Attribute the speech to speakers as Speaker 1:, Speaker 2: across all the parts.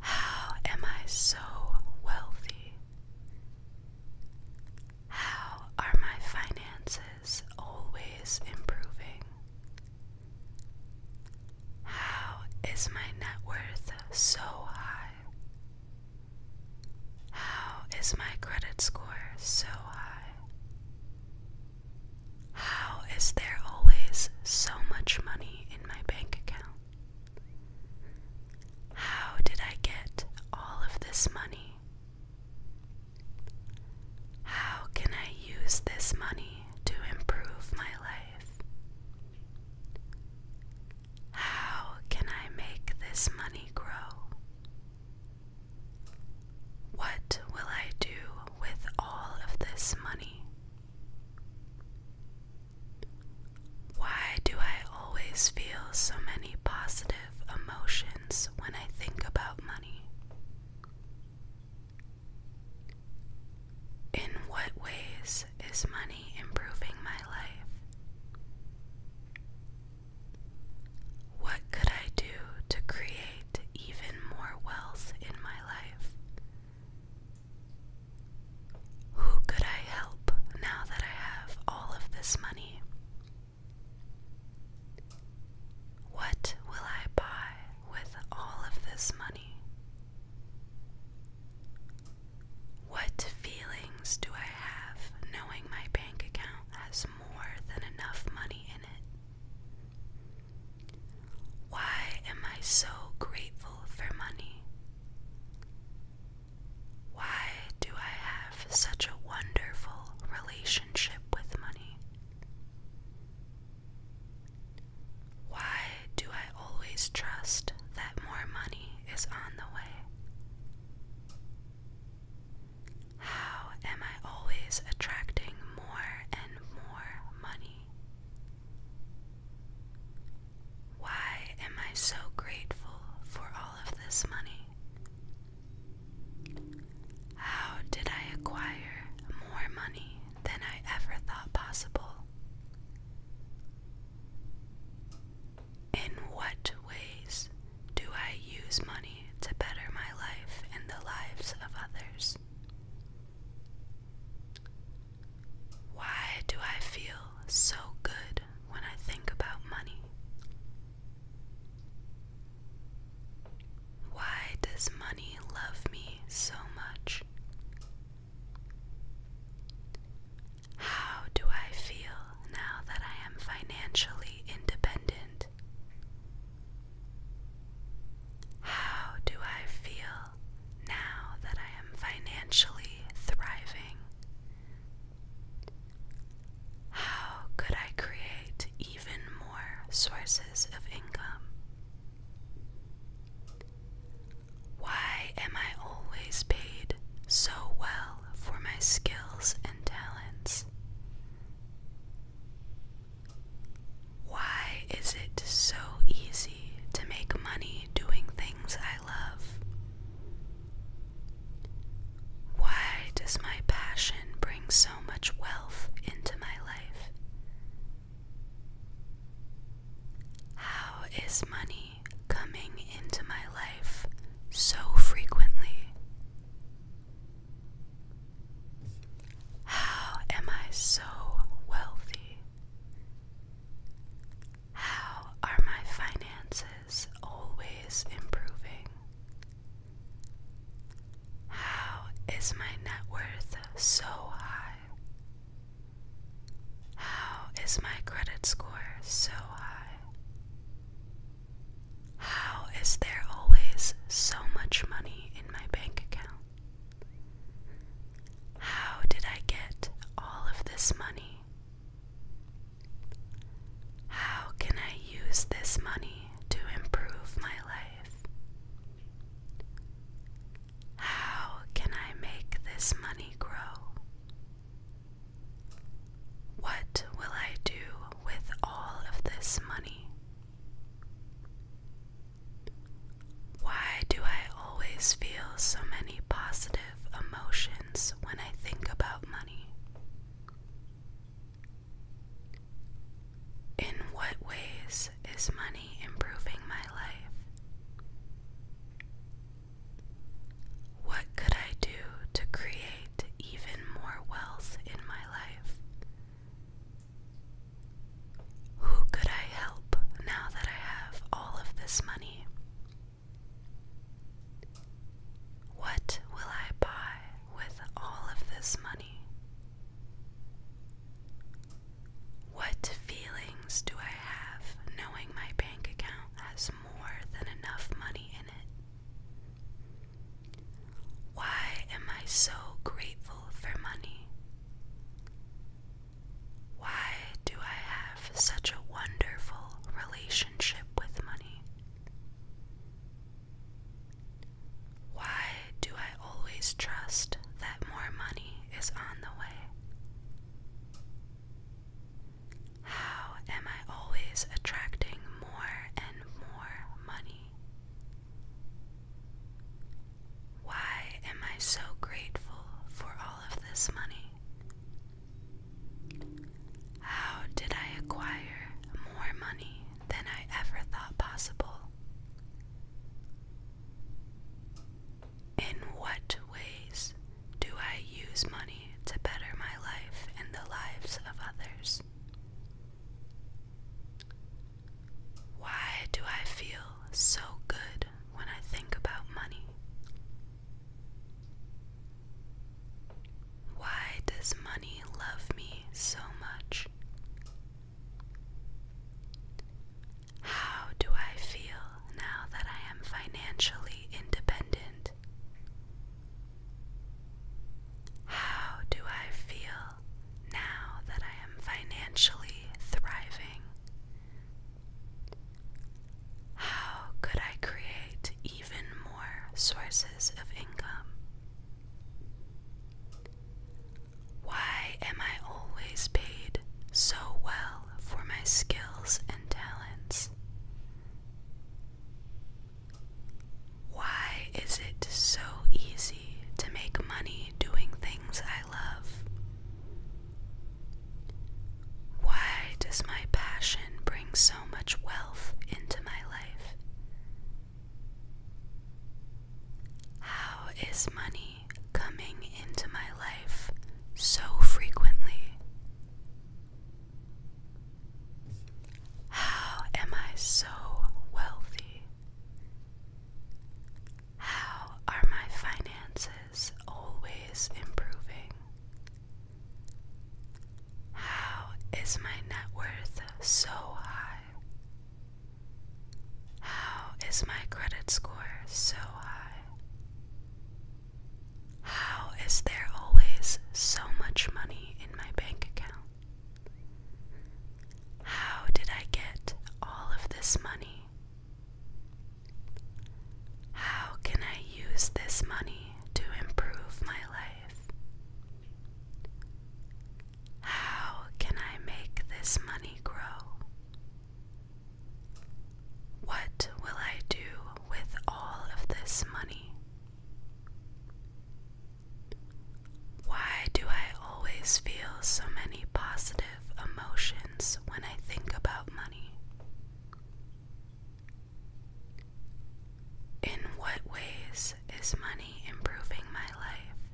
Speaker 1: How am I so wealthy? How are my finances always improving? How is my net worth so high? How is my credit score so high? How is there always so much money in my bank account? How did I get all of this money? How can I use this money to improve my life? How can I make this money grow? What will I do with all of this money? Why do I always feel so many positive emotions when I think about money? In what ways is money improving my life? What could I do to create even more wealth in my life? Who could I help now that I have all of this money? What will I buy with all of this money? What feelings do I have knowing my bank account has more than enough money in it? Why am I so grateful for money? Why do I have such a wonderful relationship with money? Why do I always trust that more money is on the way? How am I always attracting more and more money? Why am I so grateful for all of this money? How did I acquire more money than I ever thought possible? In what ways do I use money to better my life and the lives of others? Why do I feel so good when I think about money? Why does money love me so much? How do I feel now that I am financially independent? How do I feel now that I am financially thriving. How could I create even more sources of income? Why am I always paid so well for my skills and talents? Why is it so easy to make money doing things I love. Why does my passion bring so much wealth into my life? How is money coming into my life so frequently? How am I so wealthy? How are my finances always improving? How is my net worth so high? How is my credit score so high? How is there always so much money in my bank account? How did I get all of this money? How can I use this money to improve my life? How can I make this money grow? What will I do with all of this money? Why do I always feel so many positive emotions when I think about money? In what ways is money improving my life? What could I do to create even more wealth in my life? Who could I help? now that I have all of this money? What will I buy with all of this money? What feelings do I have knowing my bank account has more than enough money in it? Why am I so grateful for money? Why do I have such a wonderful relationship with money? Why do I always trust that more money is on the way? How am I always attracting more and more money? Why am I so grateful for all of this money? How did I acquire more money than I ever thought possible? In what ways do I use money to better my life and the lives of others? Why do I feel so good when I think about money? Why does money love me so much? How do I feel now that I am financially independent? How do I feel now that I am financially thriving? How could I create even more sources of income? Why am I always paid so well for my skills and talents? Why is it so easy to make money doing things I love? Why does my passion bring so much wealth into my life? How is money coming into my life so frequently? How am I so wealthy? How are my finances? is always improving. How is my net worth so high? How is my credit score so high? How is there always so much money in my bank account? How did I get all of this money how can I use this money to improve my life? How can I make this money grow? What will I do with all of this money? Why do I always feel so many positive emotions when I think about money? In what ways is money improving my life?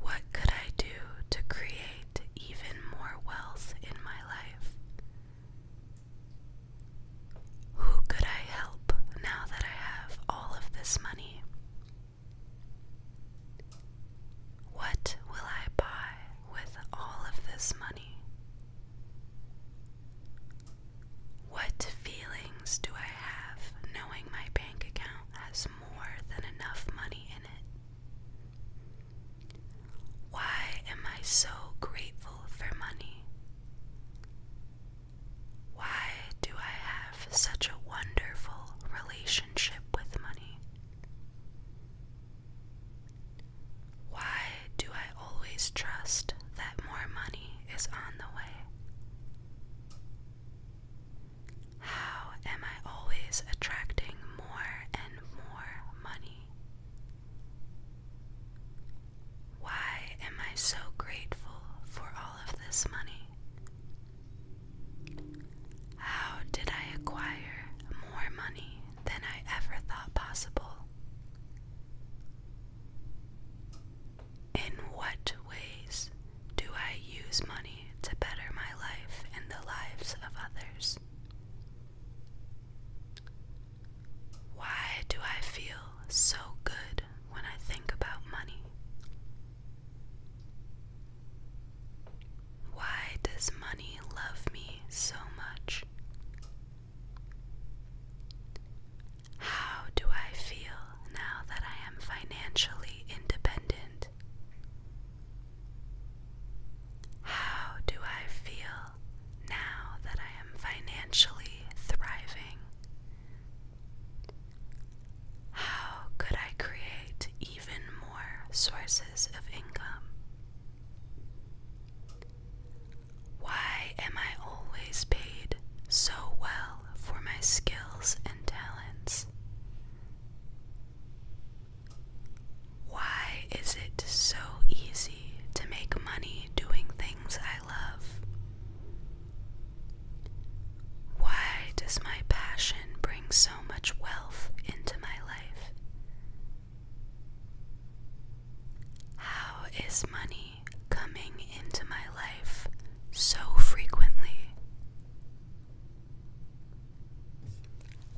Speaker 1: What could I do to create even more wealth in my life? Who could I help now that I have all of this money? What will I buy with all of this money? What feelings do I have knowing my bank account has more than enough money in it? Why am I so grateful for money? Why do I have such a wonderful relationship with money? Why do I always trust that more money is on the way? How am I always attracting more and more money? Why am I so grateful for all of this money? How did I acquire more money than I ever thought possible? In what ways do I use money to better my life and the lives of others? Why do I feel so good when I think about money? Why does money love me so much? How do I feel now that I am financially independent? How do I feel now that I am financially thriving? How could I create even more sources of income. Why am I always paid so well for my skills and talents? Why is it so easy to make money doing things I love? Why does my passion bring so much wealth into my life? How is money coming into my life so frequently?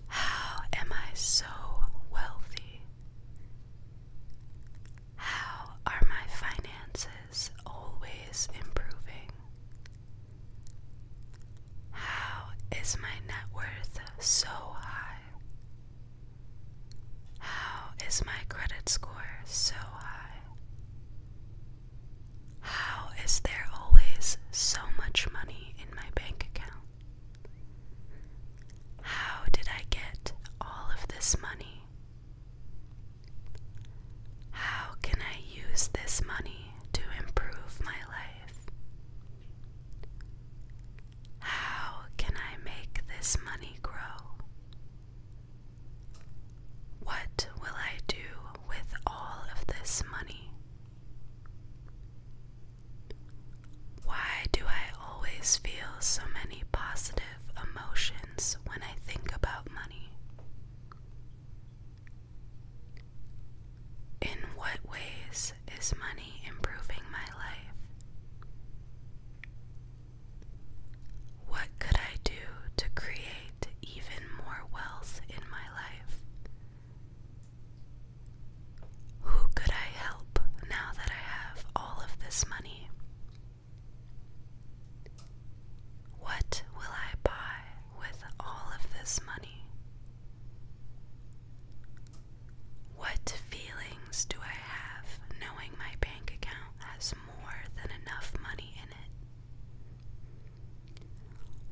Speaker 1: How am I so wealthy? How are my finances always improving? How is my net worth so high? How is my credit score so high? How is there always so much money in my bank account? How did I get all of this money? How can I use this money to improve my life? How can I make this money grow? What will I do with all of this money? Why do I always feel so many positive emotions when I think about money? In what ways is money improving my life? What could I do to create even more wealth in my life? Who could I help now that I have all of this money? What will I buy with all of this money? What feelings do I have knowing my bank account has more than enough money in it?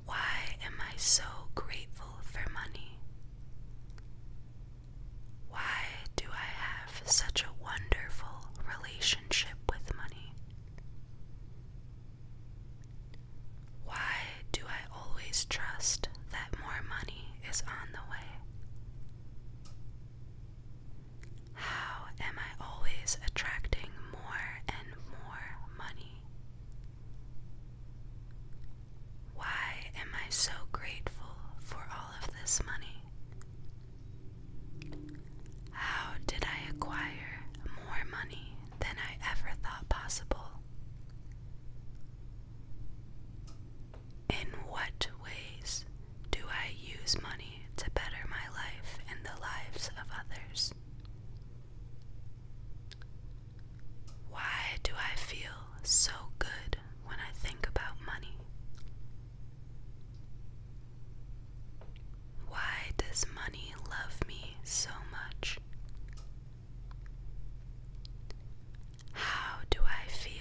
Speaker 1: Why am I so grateful for money? Why do I have such a wonderful relationship with money? Why do I always trust that more money is on the way? How am I always attracting more and more money? Why am I so grateful for all of this money? How did I acquire more money than I ever thought possible? In what ways do I use money to better my life and the lives of others? Why do I feel so good when I think about money? Why does money love me so much? How do I feel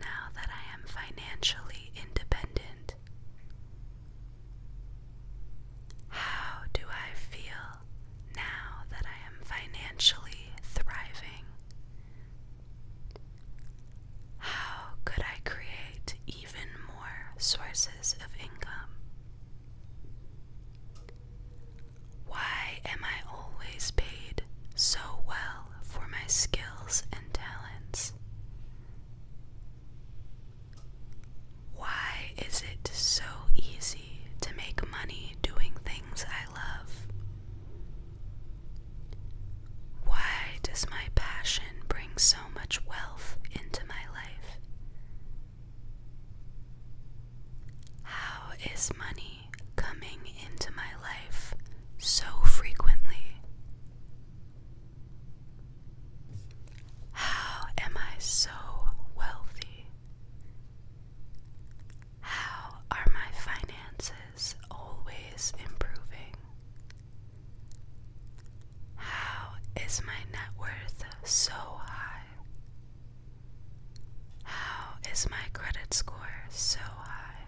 Speaker 1: now that I am financially independent? How do I feel now that I am financially thriving? How could I create even more sources of income? Why am I always paid so well for my skills and talents? Why is it so easy to make money doing things I love? Why does my passion bring so much wealth into my life? How is money coming into my life so frequently? How am I so wealthy? How are my finances always improving? How is my net worth so high? How is my credit score so high?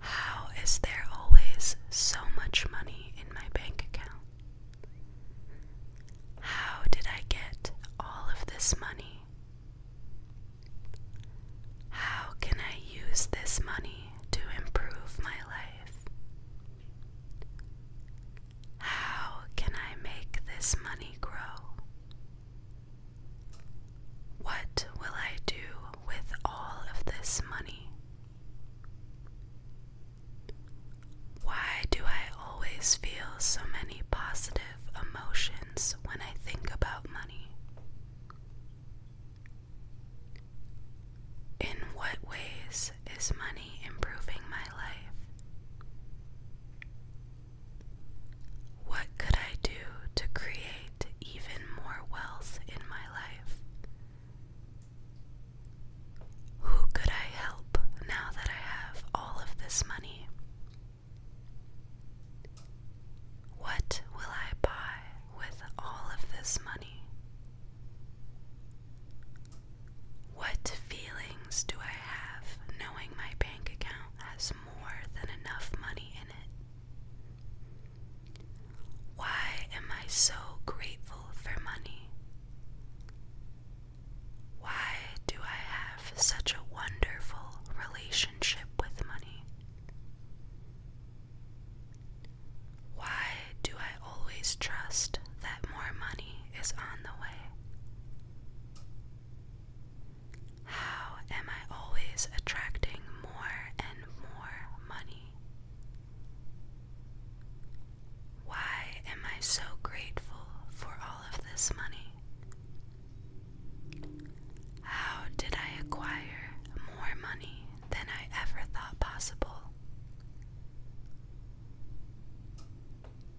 Speaker 1: How is there always so much money in my bank account? How did I get all of this money? How can I use this money to improve my life? How can I make this money grow? What will I do with all of this money? Why do I always feel so many positive emotions when I think about money? In what ways is money improving my life? What could I do to create even more wealth in my life? Who could I help now that I have all of this money? What will I buy with all of this money? What feelings do I have knowing my bank account has more than enough money in it? Why am I so grateful for money? Why do I have such a wonderful relationship with money? Why do I always trust that more money is on the way? How am I always attracting more and more money? Why am I so grateful for all of this money? How did I acquire more money than I ever thought possible?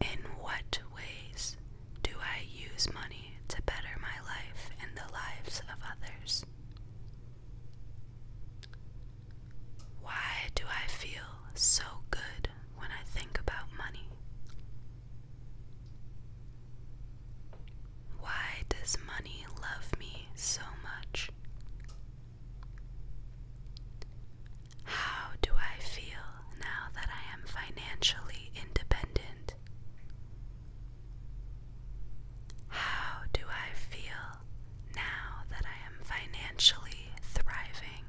Speaker 1: In what ways do I use money to better my life and the lives of others? Why do I feel so good when I think about money? Why does money love me so much? How do I feel now that I am financially independent? How do I feel now that I am financially thriving?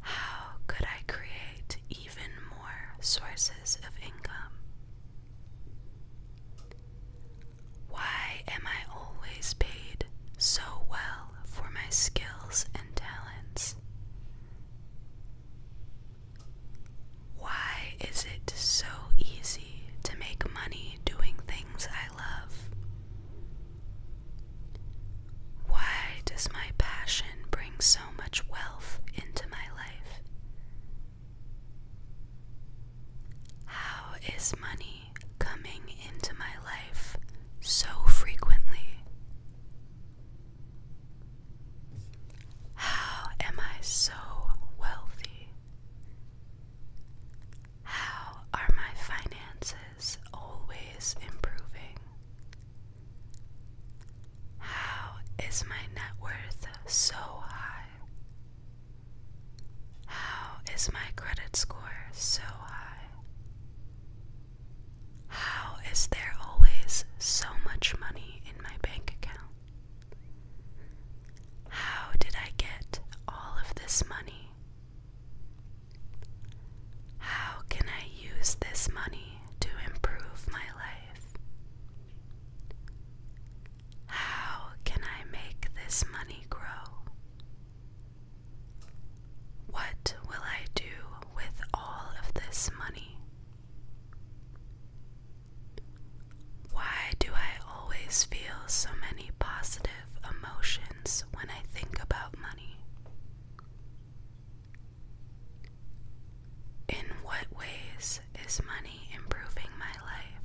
Speaker 1: How could I create even more sources of income? Why am I always paid so well? for my skills and talents. Why is it so easy to make money doing things I love? Why does my passion bring so much wealth into my life? How is money coming into my life so frequently? How am I so wealthy? How are my finances always improving? How is my net worth so high? How is my credit score so high? How is there always so much money in my bank account? How did I get all of this money? How can I use this money to improve my life? How can I make this money grow? What will I do with all of this money? Why do I always feel so many positive emotions when I think about money? In what ways is money improving my life?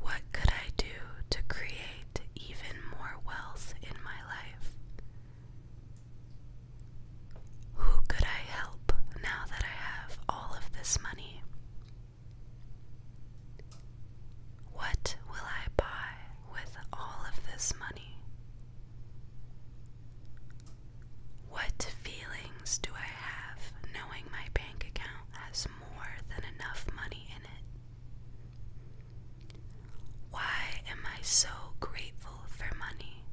Speaker 1: What could I do to create even more wealth in my life? Who could I help now that I have all of this money? What will I buy with all of this money? What feelings do I have knowing my bank account has more than enough money in it? Why am I so grateful for money?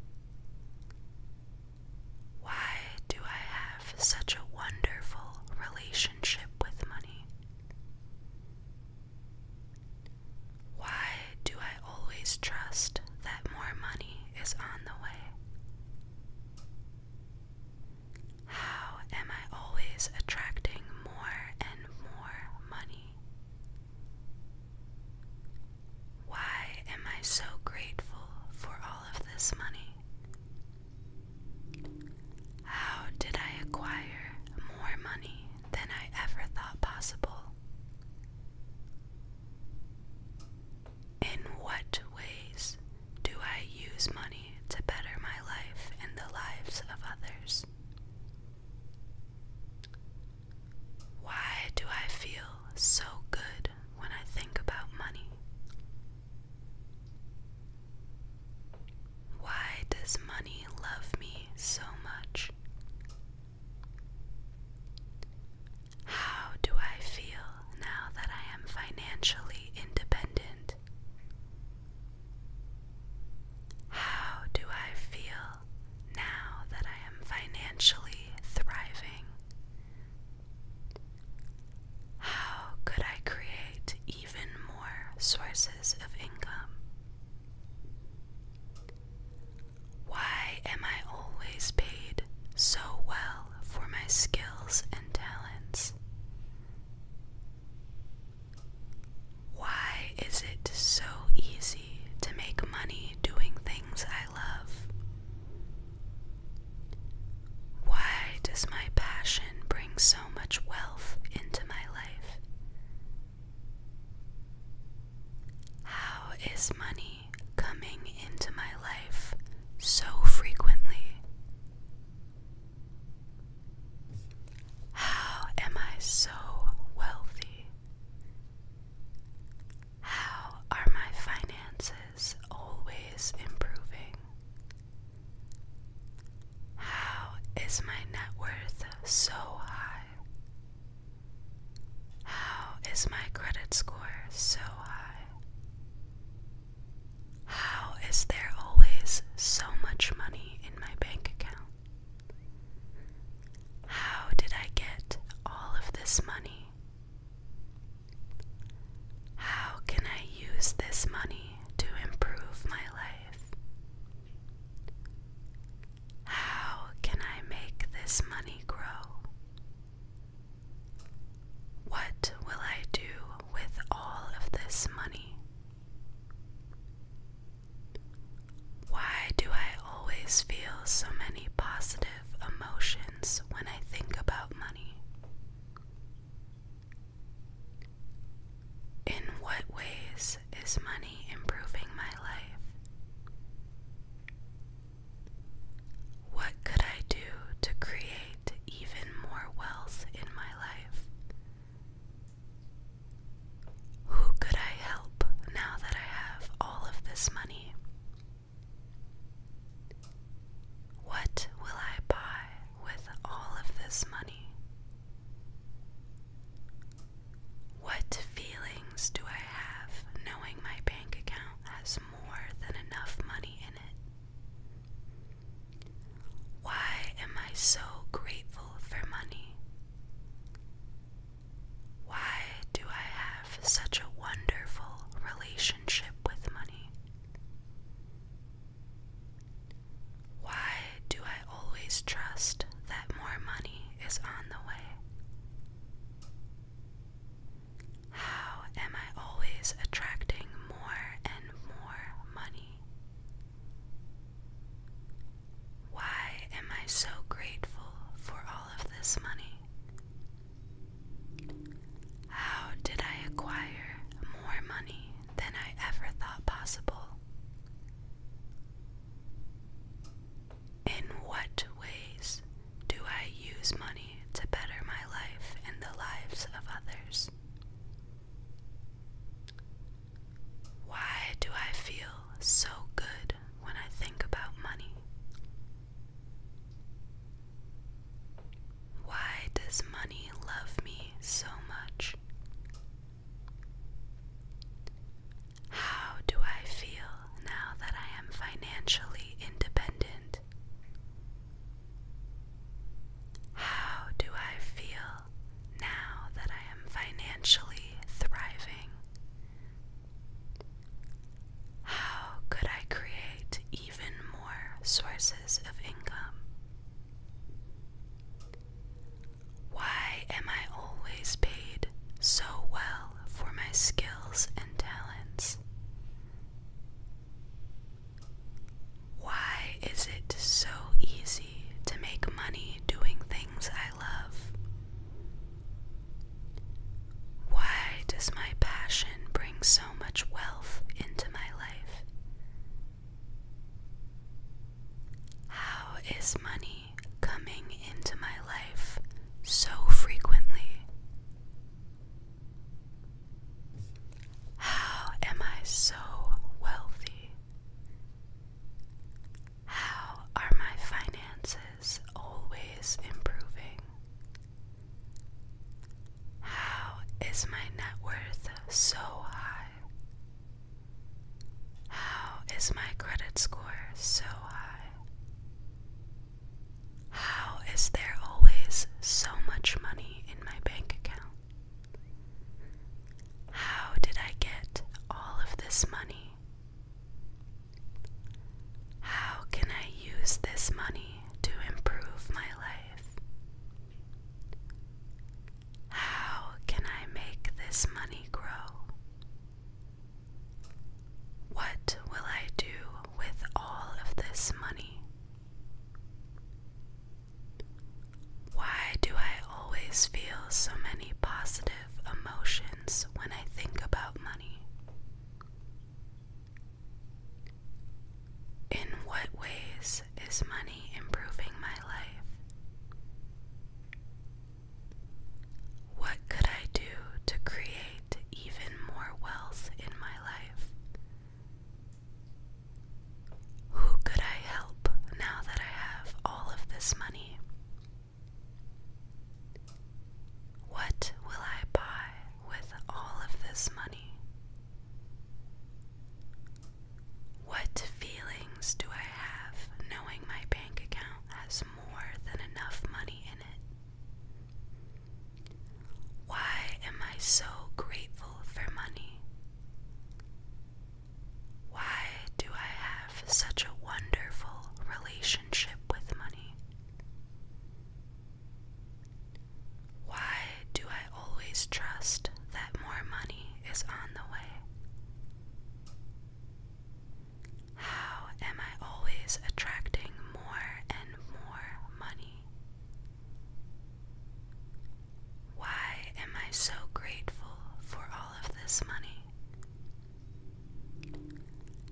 Speaker 1: Why do I have such a wonderful relationship with money? Why do I always trust that more money is on the way? How am I always attracting more and more money? Why am I so grateful for all of this money? How did I acquire more money than I ever thought possible? In what ways do I use money to better my life and the lives of others? Why do I feel so good when I think about money? Why does money love me so much? How do I feel now that I am financially independent how do I feel now that I am financially thriving? How could I create even more sources of income? Why am I always paid so well for my skills and talents? Why is it so easy to make money doing things I love? Why does my passion bring so much wealth into my life? How is money coming into my life so frequently? How am I so wealthy? How are my finances always improving? How is my net worth so high? How is my credit score so high? How is there always so much money in my bank account? How did I get all of this money? How can I use this money to improve my life? How can I make this money grow? What will I do with all of this money? Why do I always feel so many positive emotions when I think about money? In what ways is money improving my life? What could I do to create even more wealth in my life? Who could I help now that I have all of this money? What will I buy with all of this money? What feelings do I have knowing my bank account has more than enough money in it? Why am I so grateful for money? Why do I have such a wonderful relationship with money? Why do I always trust that more money is on the way? How am I always attracting more and more money? Why am I so grateful for all of this money? How did I acquire more money than I ever thought possible? In what ways do I use money to better my life and the lives of others? Why do I feel so good when I think about money? Why does money love me so much? How do I feel now that I am financially independent? How do I feel now that I am financially thriving. How could I create even more sources of income? Why am I always paid so well for my skills and talents? Why is it so easy to make money doing things I love. Why does my passion bring so much wealth into my life? How is money coming into my life so frequently? How am I so wealthy? How are my finances always improving? How is my net worth so high? How is my credit score so high? How is there always so much money in my bank account? How did I get all of this money? How can I use this money to improve my life? How can I make this money grow? What will I do with all of this money? Why do I always feel so many positive emotions when I think about money? In what ways is money improving my life? What could I do to create even more wealth in my life? Who could I help now that I have all of this money? What will I buy with all of this money? What feelings do I have knowing my bank account has more than enough money in it? Why am I so grateful for money? Why do I have such a wonderful relationship with money? Why do I always trust that more money is on the way? How am I always attracting more and more money? Why am I so grateful for all of this money?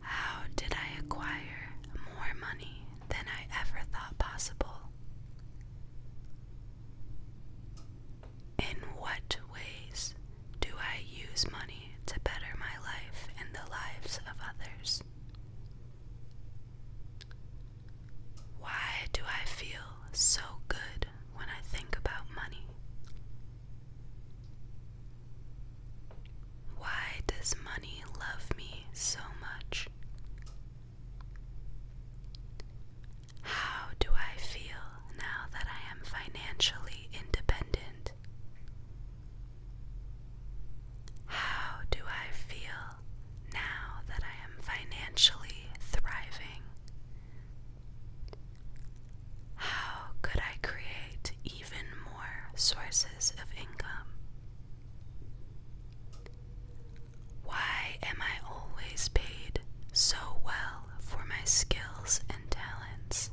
Speaker 1: How did I acquire more money than I ever thought possible? In what ways do I use money to better my life and the lives of others? Why do I feel so good when I think about money. Why does money love me so much? How do I feel now that I am financially independent? How do I feel now that I am financially thriving? How could I create even more sources of income? Why am I always paid so well for my skills and talents?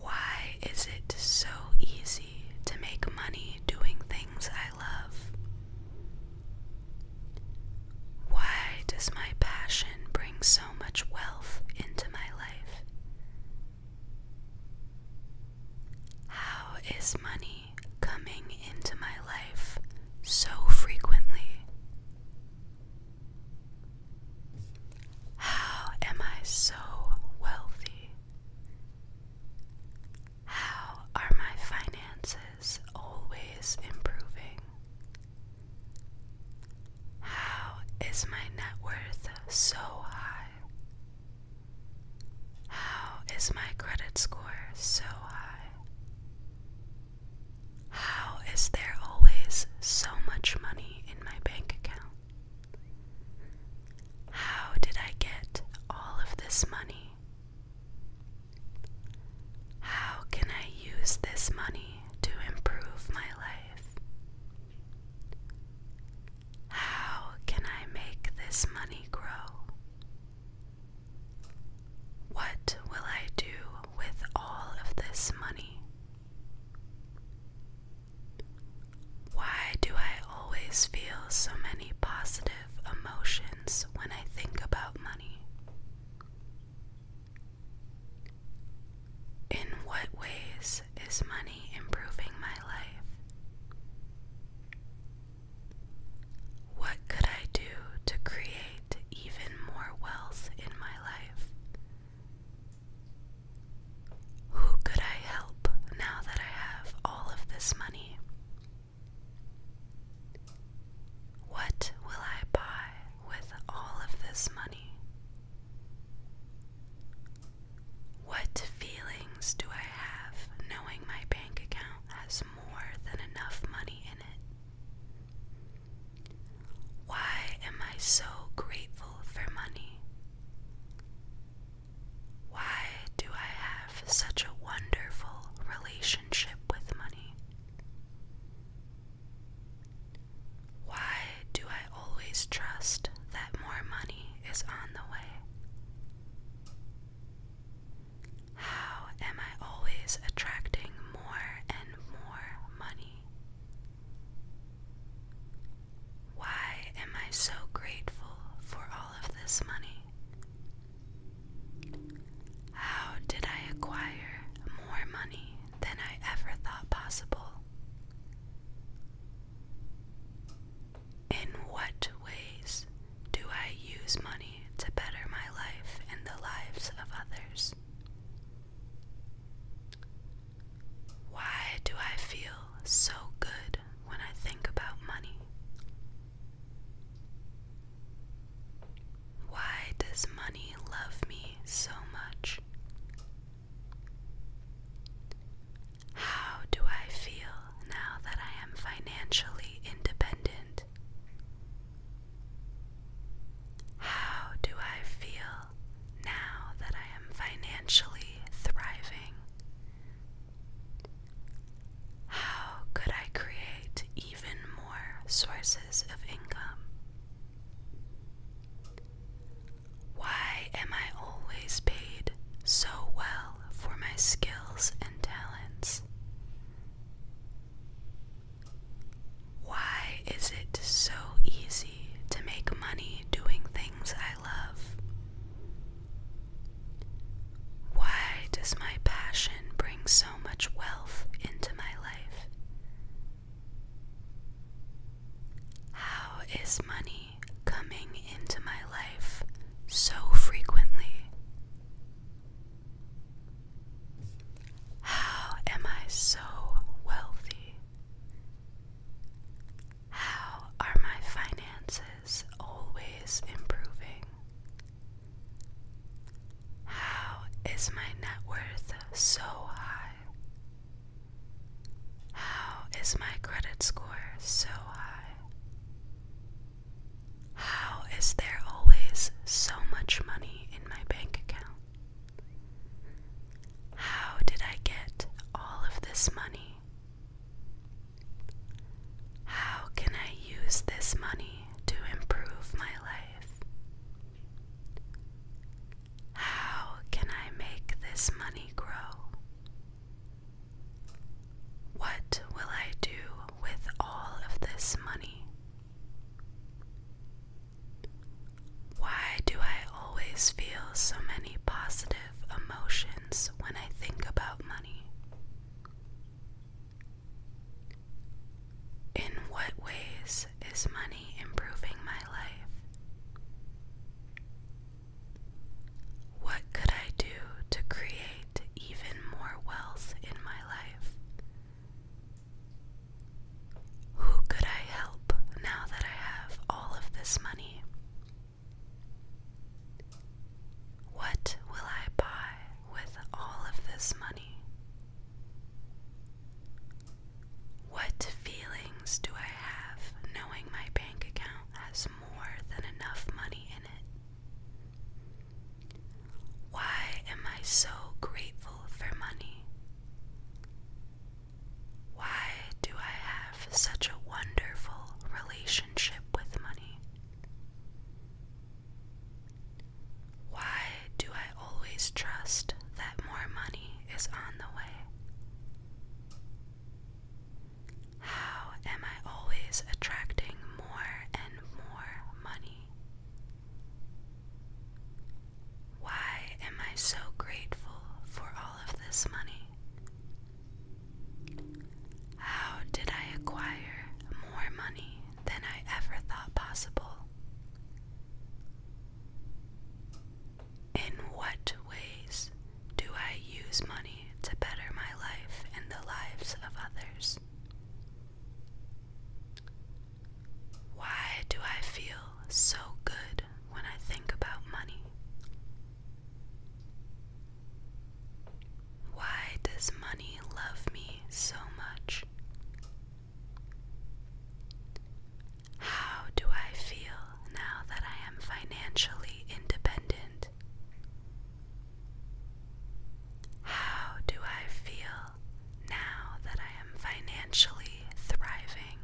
Speaker 1: Why is it so easy to make money doing things I love? Why does my passion bring so much wealth into my life? How is money coming into my life so frequently? How am I so wealthy? How are my finances? is always improving. How is my net worth so high? How is my credit score so high? How is there always so much money in my bank account? How did I get all of this money how can I use this money to improve my life? How can I make this money grow? What will I do with all of this money? Why do I always feel so many positive emotions when I think about money. In what ways is money improving my life? What could I do to create even more wealth in my life? Who could I help now that I have all of this money? What will I buy with all of this money? What feelings do I have knowing my bank account has more than enough money in it? Why am I so grateful for money? Why do I have such a wonderful relationship? Why do I always trust that more money is on the way? How am I always attracting more and more money? Why am I so grateful for all of this money? How did I acquire more money than I ever thought possible? In what ways do I use money to better my life and the lives of others? Why do I feel so good when I think about money? Why does money love me so much? How do I feel now that I am financially independent? How do I feel now that I am financially thriving? How could I create even more sources of income? Why am I always paid so well for my skills and talents? Why is it so easy to make money doing things I love? Why does my passion bring so much wealth into my life? How is money coming into my life so frequently? How am I so wealthy? How are my finances always improving? How is my net worth so high? How is my credit score so high? How is there always so much money in my bank account? How did I get all of this money? How can I use this money to improve my life? How can I make this money grow? What will I do with all of this money? Why do I always feel so many positive emotions when I think about money? In what ways is money improving my life? What could I do to create even more wealth in my life? Who could I help now that I have all of this money? What will I buy with all of this money? What feelings do I have knowing my bank account has more than enough money in it? Why am I so grateful for money? Why do I have such a wonderful relationship with money? Why do I always trust that more money is on the way? How am I always attracting more and more money? Why am I so grateful for all of this money? How did I acquire more money? than I ever thought possible. In what ways do I use money to better my life and the lives of others? Why do I feel so good when I think about money? Why does money love me so much? How do I feel now that I am financially independent? How do I feel now that I am financially thriving?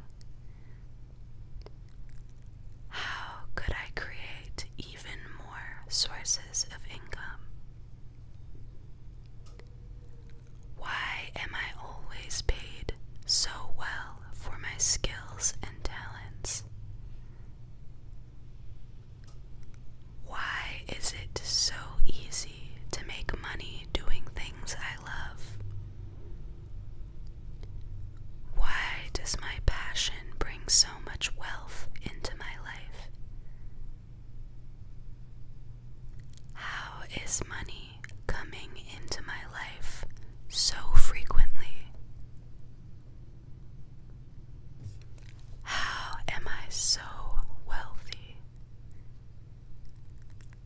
Speaker 1: How could I create even more sources of income? Why am I always paid so well for my skills and talents? Why is it so easy to make money doing things I love? Why does my passion bring so much wealth into my life? How is money coming into my life so frequently? How am I so wealthy?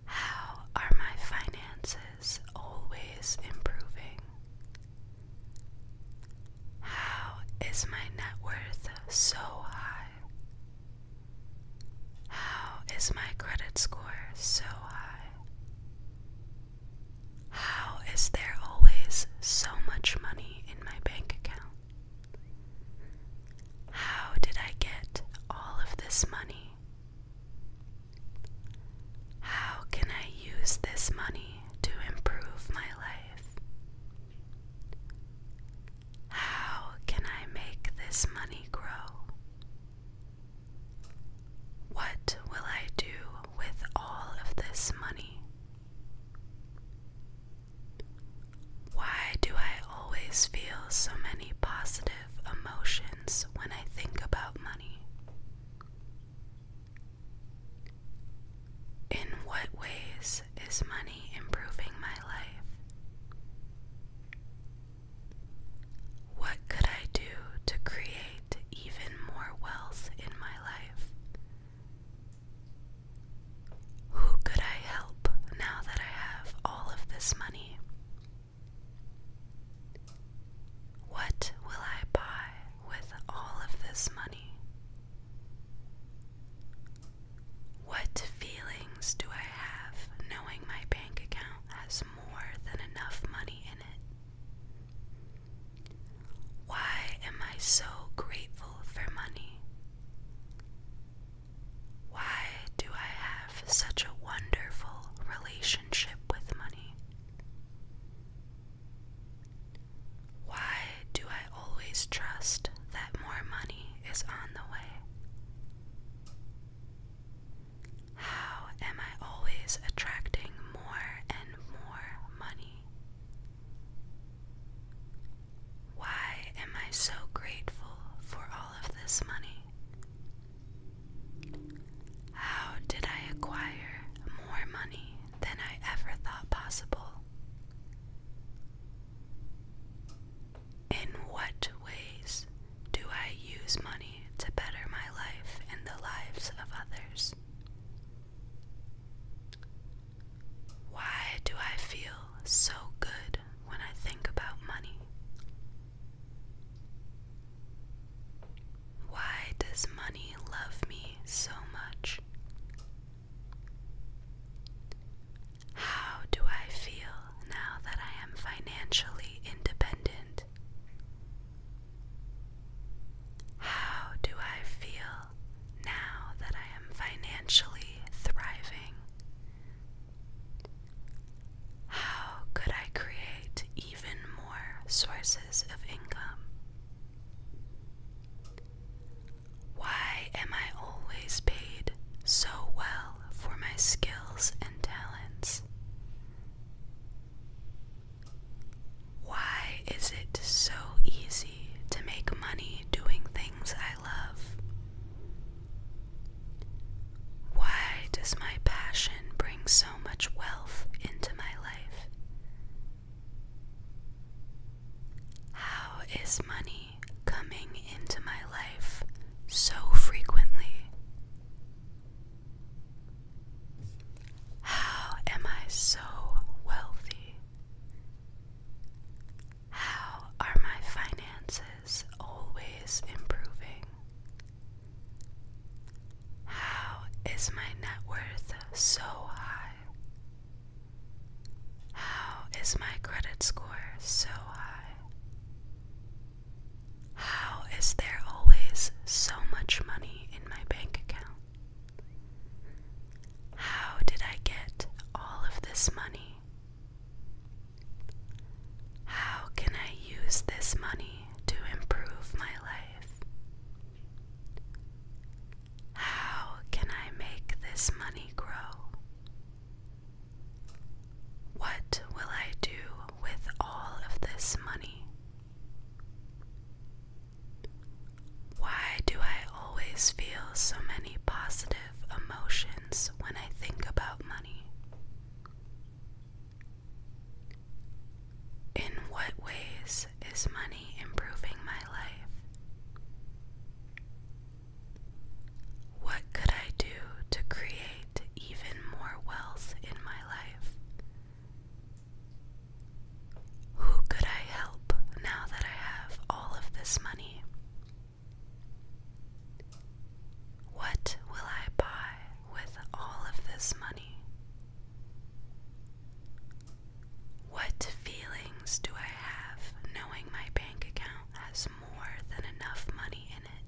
Speaker 1: How are my finances always improving? How is my net worth so high? How is my credit score so high? How is there always so much money in my bank account? How did I get all of this money? How can I use this money to improve my life? How can I make this money grow? What will I do with all of this money? Why do I always feel so many positive emotions when I think about money? In what ways is money improving my life? What could I do to create even more wealth in my life? Who could I help now that I have all of this money? What will I buy with all of this money? What feelings do I have knowing my bank account has more than enough money in it? Why am I so grateful for money? Why do I have such a wonderful relationship with money? Why do I always trust that more money is on the way. How am I always attracting more and more money? Why am I so grateful for all of this money? How did I acquire more money than I ever thought possible? In what ways do I use money to better my life and the lives of others? Why do I feel so good when I think about money? Why does money love me so much? How do I feel now that I am financially independent? How do I feel now that I am financially thriving? How could I create even more sources of income? Why am I always paid so well for my skills and talents? Why is it so easy to make money doing things I love? Why does my passion bring so much wealth into my life? How is money coming into my life so frequently? How am I so wealthy? How are my finances always improving? How is my net worth so high? How is my credit score so high? How is there always so much money in my bank account? How did I get all of this money? How can I use this money to improve my life? How can I make this money grow? What will I do with all of this money? Why do I always feel so many positive emotions when I think about money? In what ways is money improving my life? What could I do to create even more wealth in my life? Who could I help now that I have all of this money? What will I buy with all of this money? What feelings do I have knowing my bank account has more than enough money in it.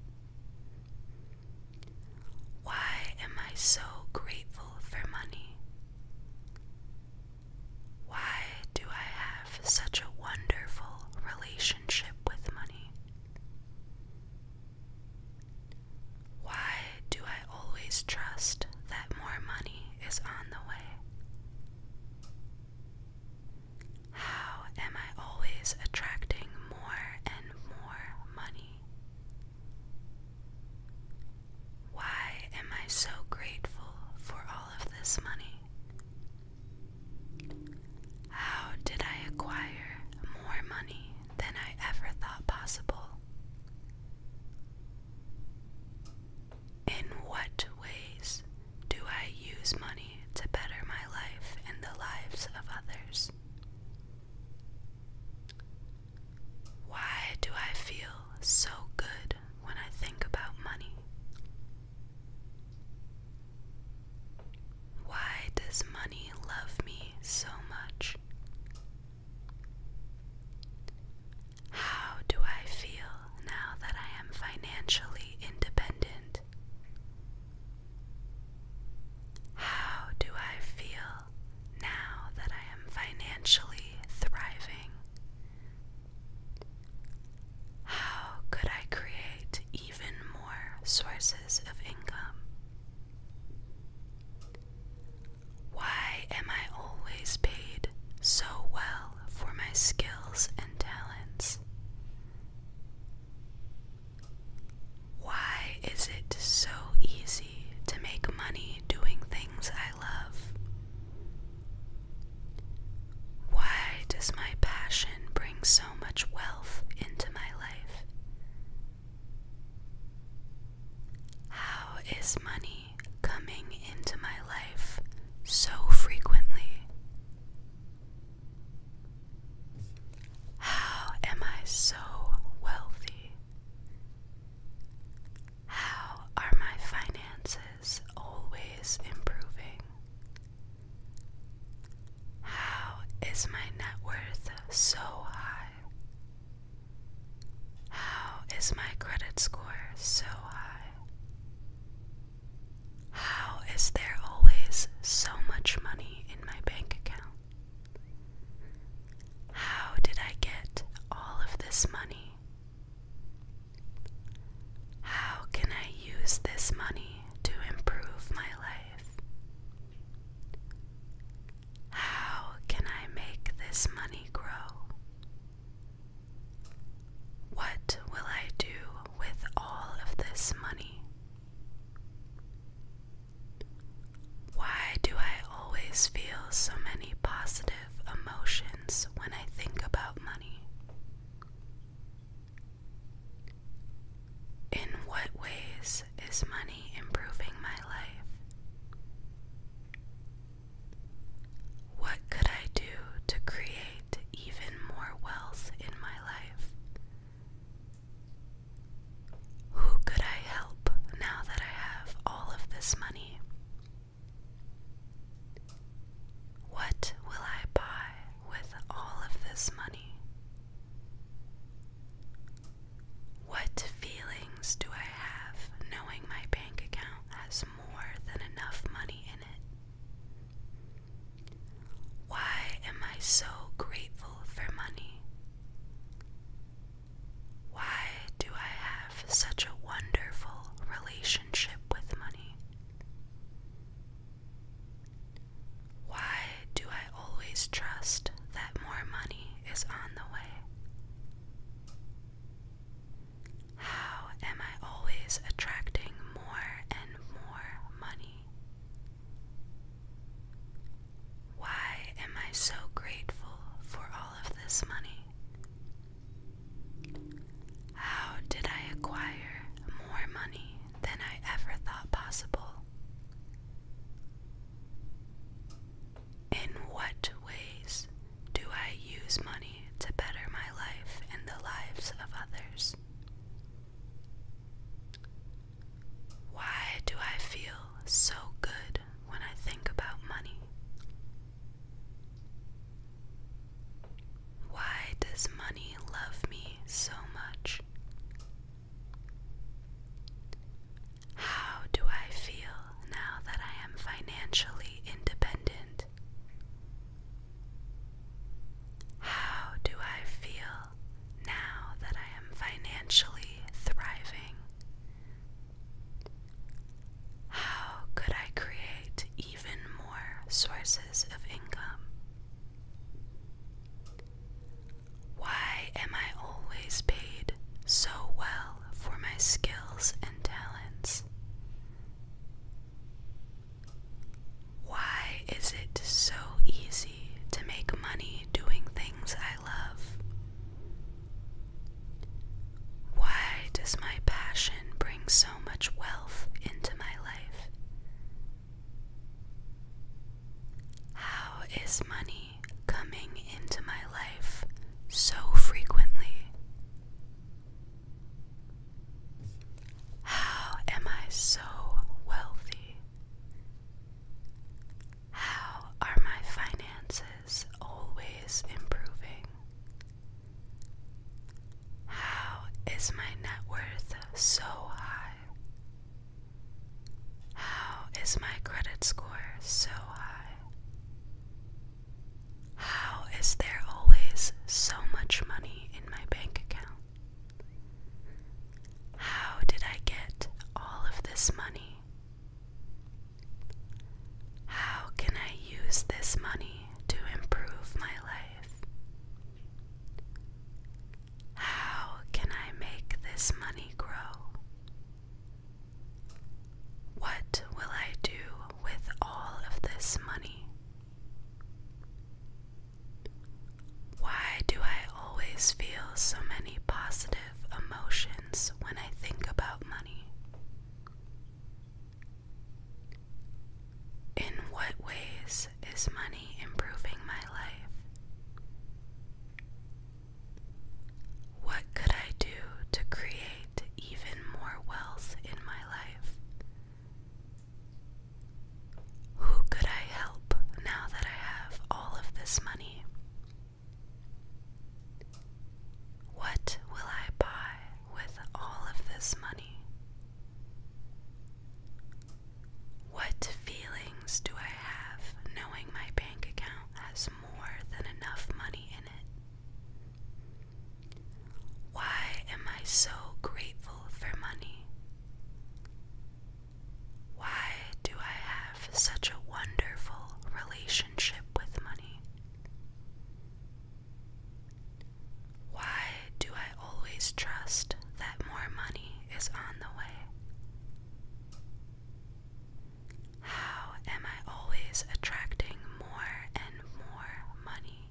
Speaker 1: Why am I so grateful for money? Why do I have such a wonderful relationship with money? Why do I always trust that more money is on the way? How am I always attracting more and more money? Why am I so grateful for all of this money? How did I acquire more money than I ever thought possible? In what ways do I use money to better my life and the lives of others? Why do I feel so good when I think about money? Why does money love me so much? How do I feel now that I am financially independent how do I feel now that I am financially thriving? How could I create even more sources of income? Why am I always paid so well for my skills and talents? Why is it so easy to make money doing things I love? Why does my passion bring so much wealth into my life? How is money coming into my life so frequently? How am I so wealthy? How are my finances always improving? How is my net worth so high? How is my credit score so high? How is there always so much money in my bank account? How did I get all of this money? How can I use this money to improve my life? How can I make this money grow? What will I do with all of this money? Why do I always feel so many positive emotions when I think about money? In what ways is money improving my life? What could I do to create even more wealth in my life. Who could I help now that I have all of this money? What will I buy with all of this money? What feelings do I have knowing my bank account has more than enough money in it? Why am I so grateful for money? Why do I have such a wonderful relationship with money? Why do I always trust that more money is on the way? How am I always attracting more and more money? Why am I so grateful for all of this money? How did I acquire more money than I ever thought possible? In what ways do I use money to better my life and the lives of others? Why do I feel so good when I think about money? Why does money love me so much? How do I feel now that I am financially independent? How do I feel now that I am financially thriving? How could I create even more sources of income? Why am I always paid so well for my skills and talents? Why is it so easy to make money doing things I love? Why does my passion bring so much wealth into my life? How is money coming into my life so frequently? How am I so wealthy? How are my finances always improving? How is my net worth so high? How is my credit score so high? How is there always so much money in my bank account? How did I get all of this money? How can I use this money to improve my life? How can I make this money grow? What will I do with all of this money? Why do I always feel so many positive emotions when I think about money? In what ways is money improving my life? What could I do to create even more wealth in my life who could I help now that I have all of this money? What will I buy with all of this money? What feelings do I have knowing my bank account has more than enough money in it? Why am I so grateful for money? Why do I have such a wonderful relationship with money? Why do I always trust that more money is on the way? How am I always attracting more and more money?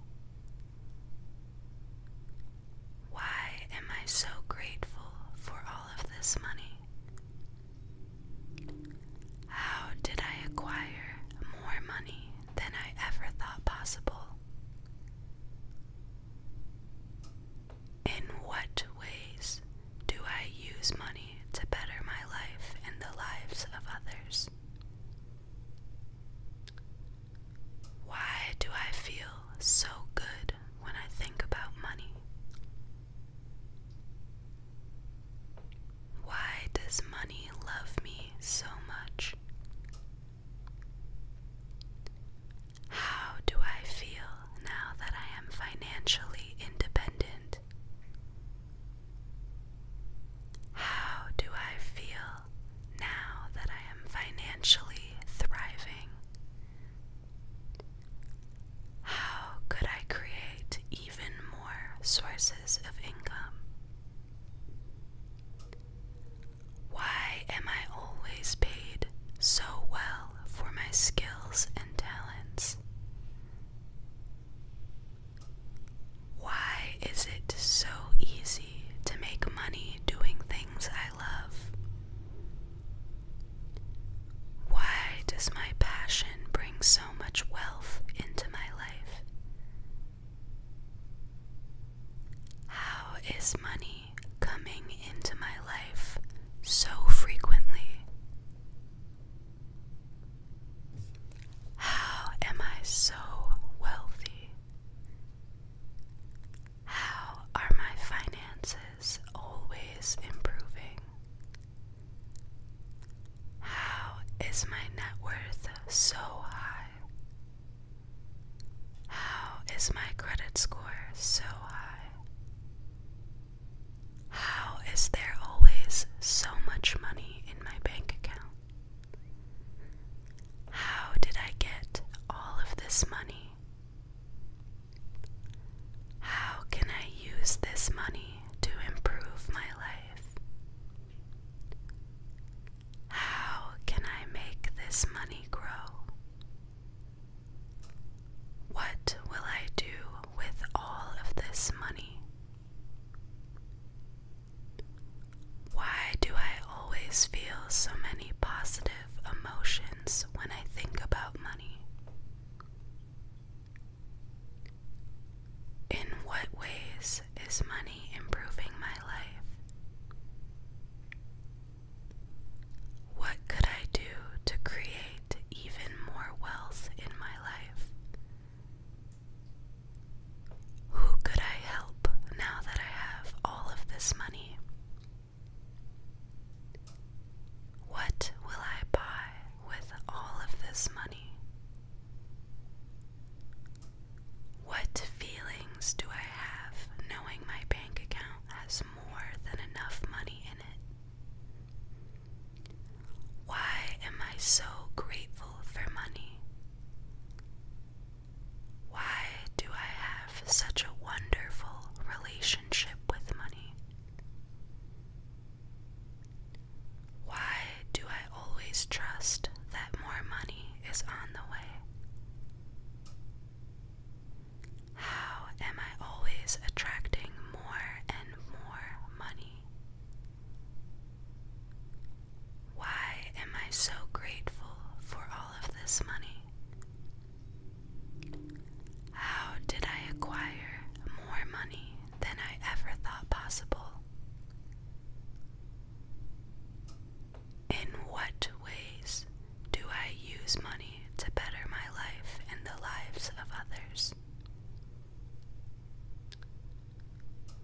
Speaker 1: Why am I so grateful for all of this money? How did I acquire more money than I ever thought possible? In what ways do I use money to better my life and the lives of others? Why do I feel so good when I think about money? Why does money love me so much? How do I feel now that I am financially independent? How do I feel now that I am financially thriving? How could I create even more sources of income? Why am I always paid so well for my skills and talents? Why is it so easy to make money doing things love? Why does my passion bring so much wealth into my life? How is money coming into my life so frequently? How am I so wealthy? How are my finances always improving? How is my net worth so high? How is my credit score so high? How is there always so much money in my bank account? How did I get all of this money? How can I use this money to improve my life? How can I make this money grow? What will I do with all of this money? Why do I always feel so many positive emotions when I think about money? In what ways is money improving my life? What could I do to create even more wealth in my life? Who could I help now that I have all of this money? What will I buy with all of this money? What feelings do I have knowing my bank account has more than enough money in it? Why am I so grateful for money? Why do I have such a wonderful relationship with money? Why do I always trust that more money is on the way? How am I always attracting more and more money? Why am I so grateful for all of this money? How did I acquire more money than I ever thought possible? In what ways do I use money to better my life and the lives of others?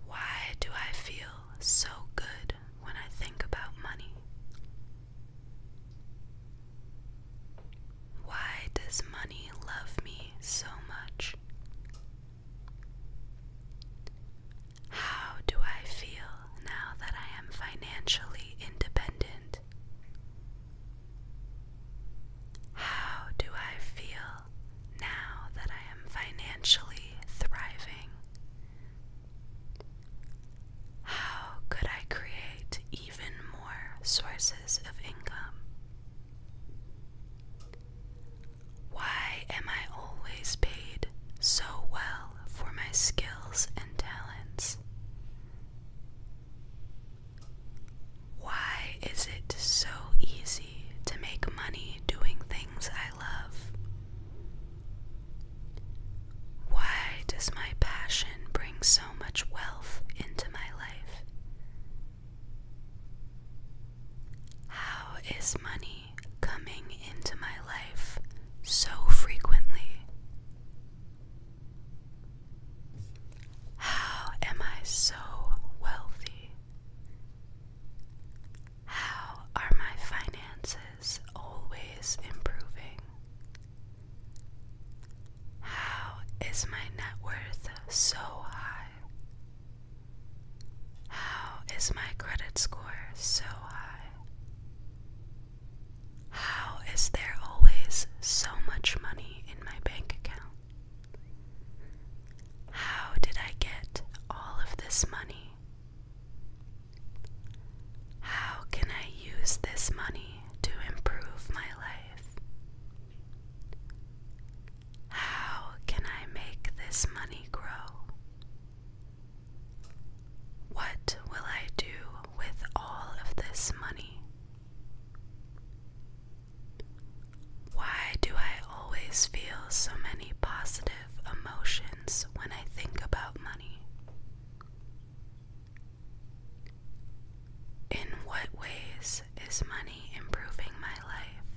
Speaker 1: Why do I feel so good when I think about money? Why does money love me so much? How do I feel now that I am financially independent? How do I feel now that I am financially thriving? How could I create even more sources of income? Why am I always paid so well for my skills and talents? Why is it so easy to make money doing things I love? Why does my passion bring so much wealth into my life? How is money coming into my life so frequently? How am I so wealthy? How are my finances always improving? How is my net worth so high? How is my credit score so high? How is there always so much money in my bank account? How did I get all of this money? How can I use this money to improve my life? How can I make this money grow? What will I do with all of this money? Why do I always feel so many positive emotions when I think about money? In what ways is money improving my life?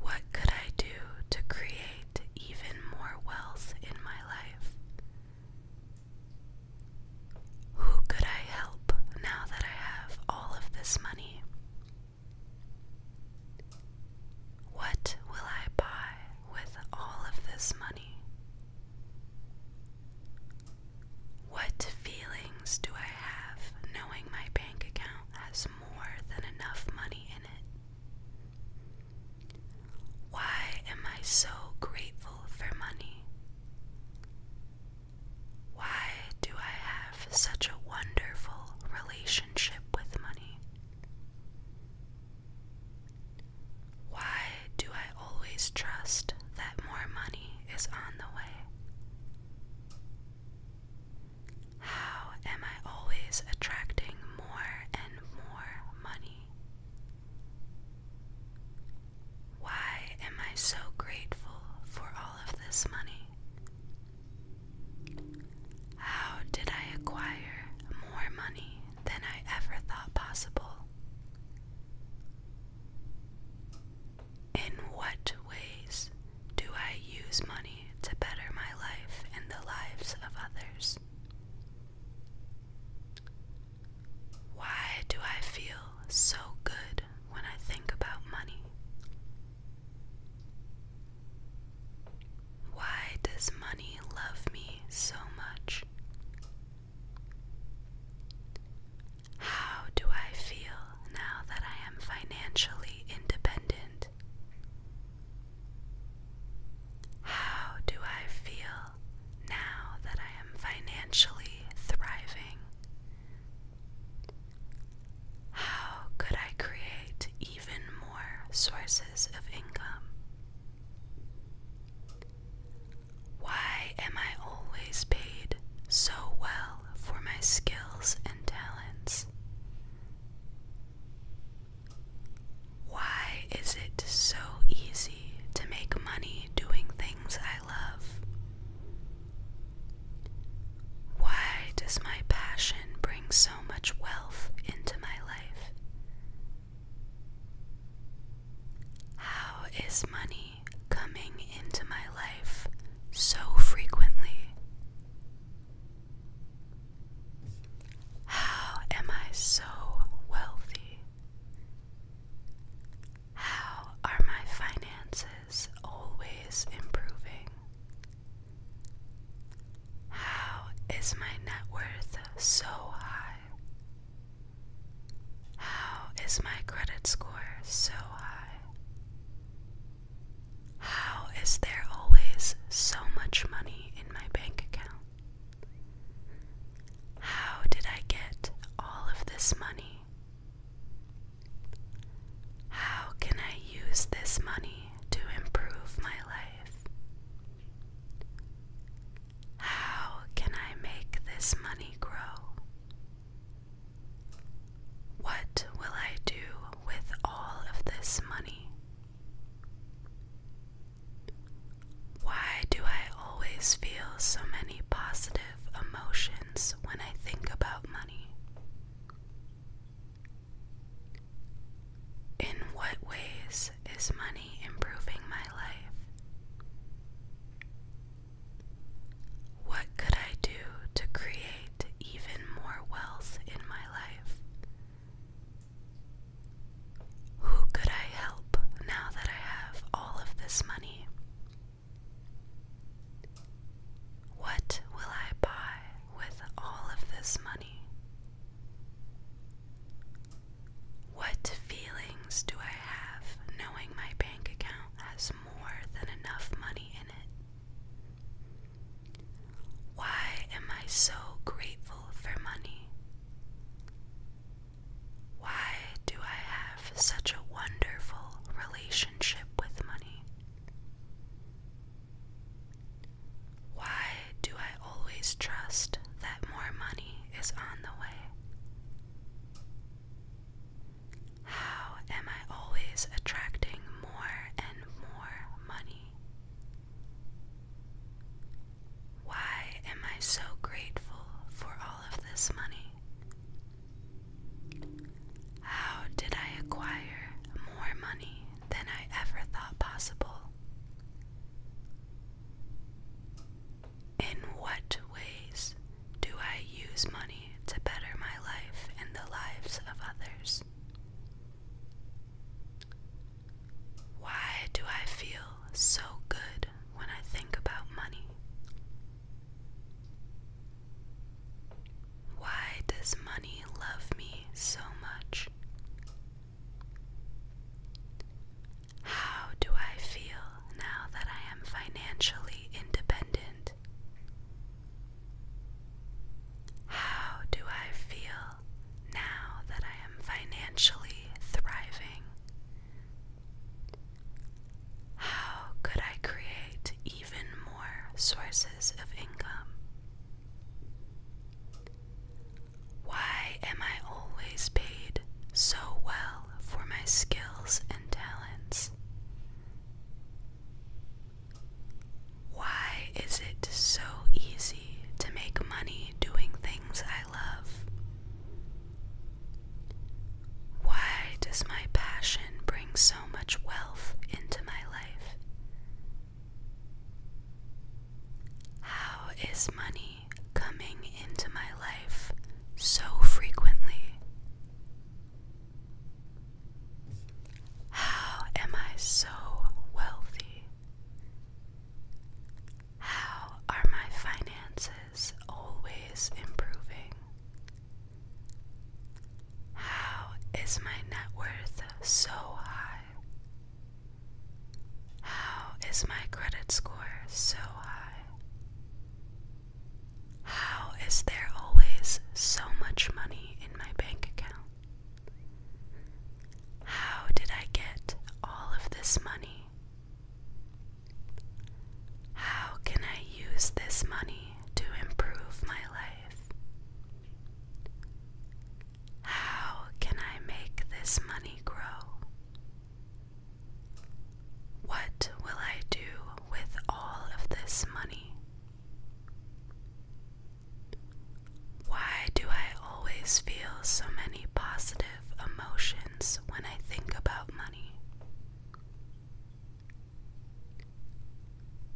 Speaker 1: What could I do to create even more wealth in my life? Who could I help now that I have all of this money? What will I buy with all of this money? What feelings do I have knowing my bank account has more than enough money in it? Why am I so grateful for money? Why do I have such a wonderful relationship with money? Why do I always trust that more money is on the way? How am I always attracting more and more money? Why am I so grateful for all of this money? How did I acquire more money than I ever thought possible. In what ways do I use money to better my life and the lives of others? Why do I feel so good when I think about money? Why does money love me so much? How do I feel now that I am financially independent? How do I feel now that I am financially thriving? How could I create even more sources of income? Why am I always paid so well for my skills and talents? Why is it so easy to make money doing things I love? Why does my passion bring so much wealth into my life? How is money coming into my life so frequently? How am I so wealthy? How are my finances always improving? How is my net worth so high? How is my credit score so high? How is there always so much money in my bank account? How did I get all of this money? How can I use this money to improve my life? How can I make this money grow? What will I do with all of this money? Why do I always feel so many positive emotions when I think about money? In what ways is money improving my life? What could I do to create even more wealth in my life? Who could I help now that I have all of this money? What will I buy with all of this money? What feelings do I have knowing my bank account has more than enough money in it? Why am I so grateful for money? Why do I have such a wonderful relationship with money? Why do I always trust that more money is on the way? How am I always attracting more and more money? Why am I so grateful for all of this money? How did I acquire more money than I ever thought possible? In what ways do I use money to better my life and the lives of others? Why do I feel so good when I think about money? Why does money love me so much? How do I feel now that I am financially independent? How do I feel now that I am financially thriving? How could I create even more sources of income? Why am I always paid so well for my skills and talents? Why is it so easy to make money doing things I love? Why does my passion bring so much wealth into my life? How is money coming into my life so frequently? How am I so wealthy? How are my finances always improving? How is my net worth so high? How is my credit score so high? How is there always so much money in my bank account? How did I get all of this money? How can I use this money to improve my life? How can I make this money grow? What will I do with all of this money? Why do I always feel so many positive emotions when I think about money?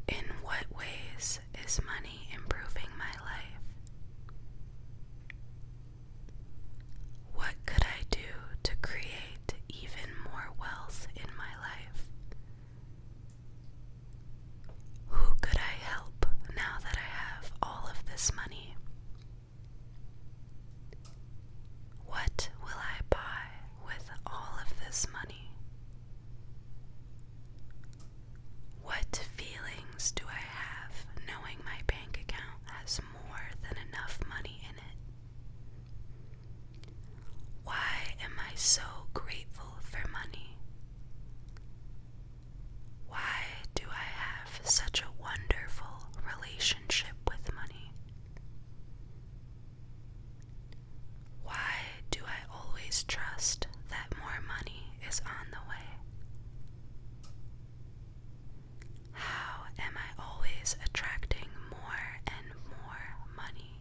Speaker 1: In what ways is money improving my life? What could I do to create even more wealth in my life? Who could I help now that I have all of this money? What will I buy with all of this money? What feelings do I have knowing my bank account? has more than enough money in it. Why am I so grateful for money? Why do I have such a wonderful relationship with money? Why do I always trust that more money is on the way? How am I always attracting more and more money?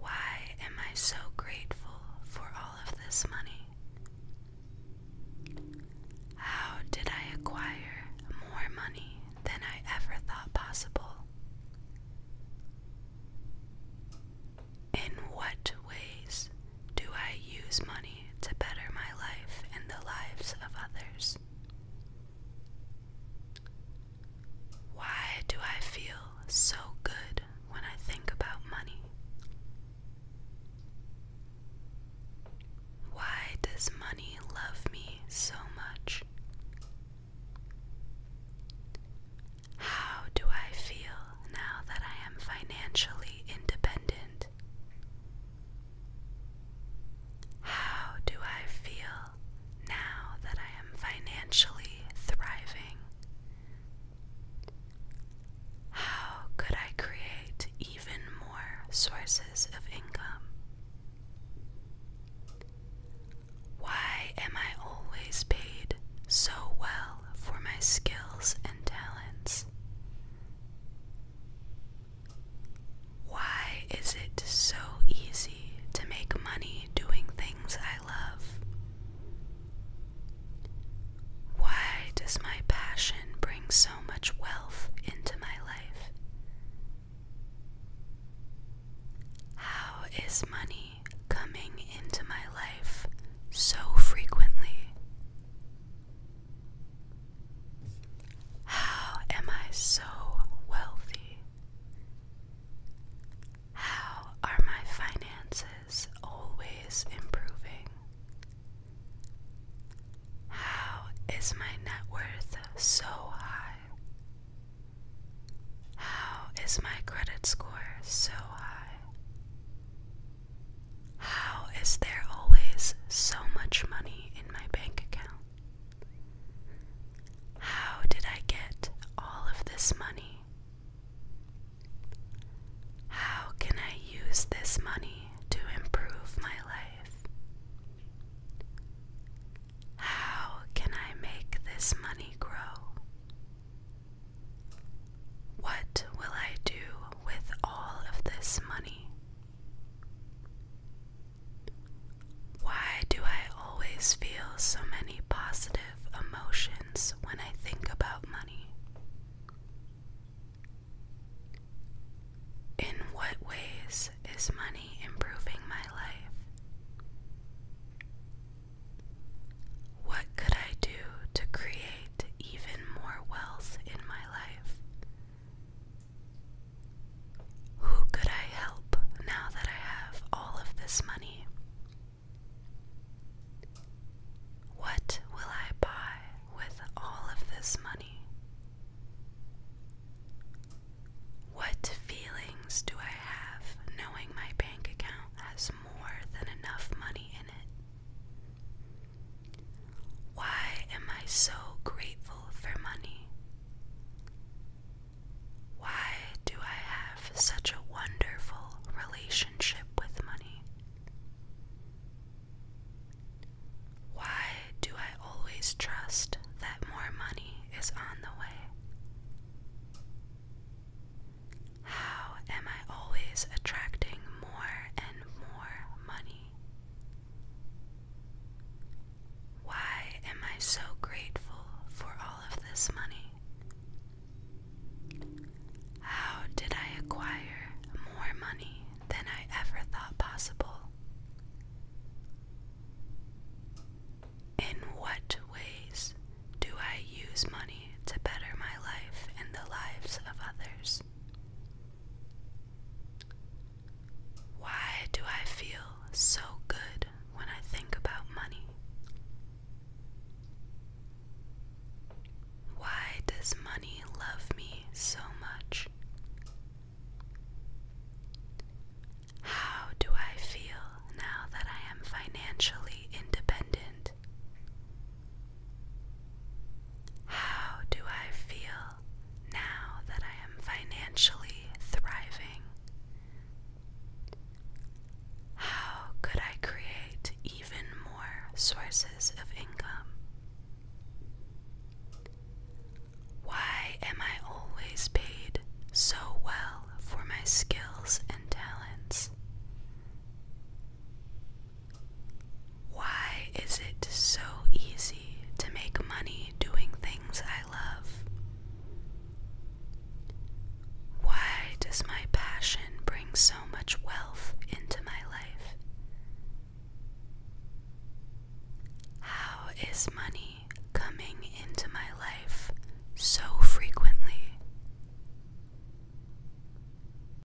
Speaker 1: Why am I so grateful for all of this money? How did I acquire more money than I ever thought possible? In what ways do I use money to better my life and the lives of others? Why do I feel so good when I think about money? Why does money love me so much? How do I feel now that I am financially independent? How do I feel now that I am financially thriving? How could I create even more sources of income? Why am I always paid so well for my skills and talents? Why is it so easy to make money doing things I love? Why does my passion bring so much wealth into my life? How is money coming into my life so frequently how am I so wealthy? How are my finances always improving? How is my net worth so high? How is my credit score so high? How is there always so much money in my bank account? How did I get all of this money? How can I use this money to improve my life? How can I make this money grow? What will I do with all of this money? Why do I always feel so many positive emotions when I think about money? In what ways is money improving my life? What could I do to create even more wealth in my life. Who could I help now that I have all of this money? What will I buy with all of this money? What feelings do I have knowing my bank account has more than enough money in it? Why am I so grateful for money? Why do I have such a wonderful relationship with money? Why do I always trust that more money is on the way? How am I always attracting more and more money? Why am I so grateful for all of this money? How did I acquire more money than I ever thought possible? In what ways do I use money to better my life and the lives of others? Why do I feel so good when I think about money? Why does money love me so much? How do I feel now that I am financially independent? How do I feel now that I am financially thriving? How could I create even more sources of income? Why am I always paid so well for my skills and talents? Why is it so easy to make money doing things I love? Why does my passion bring so much wealth into my life? How is money coming into my life so frequently?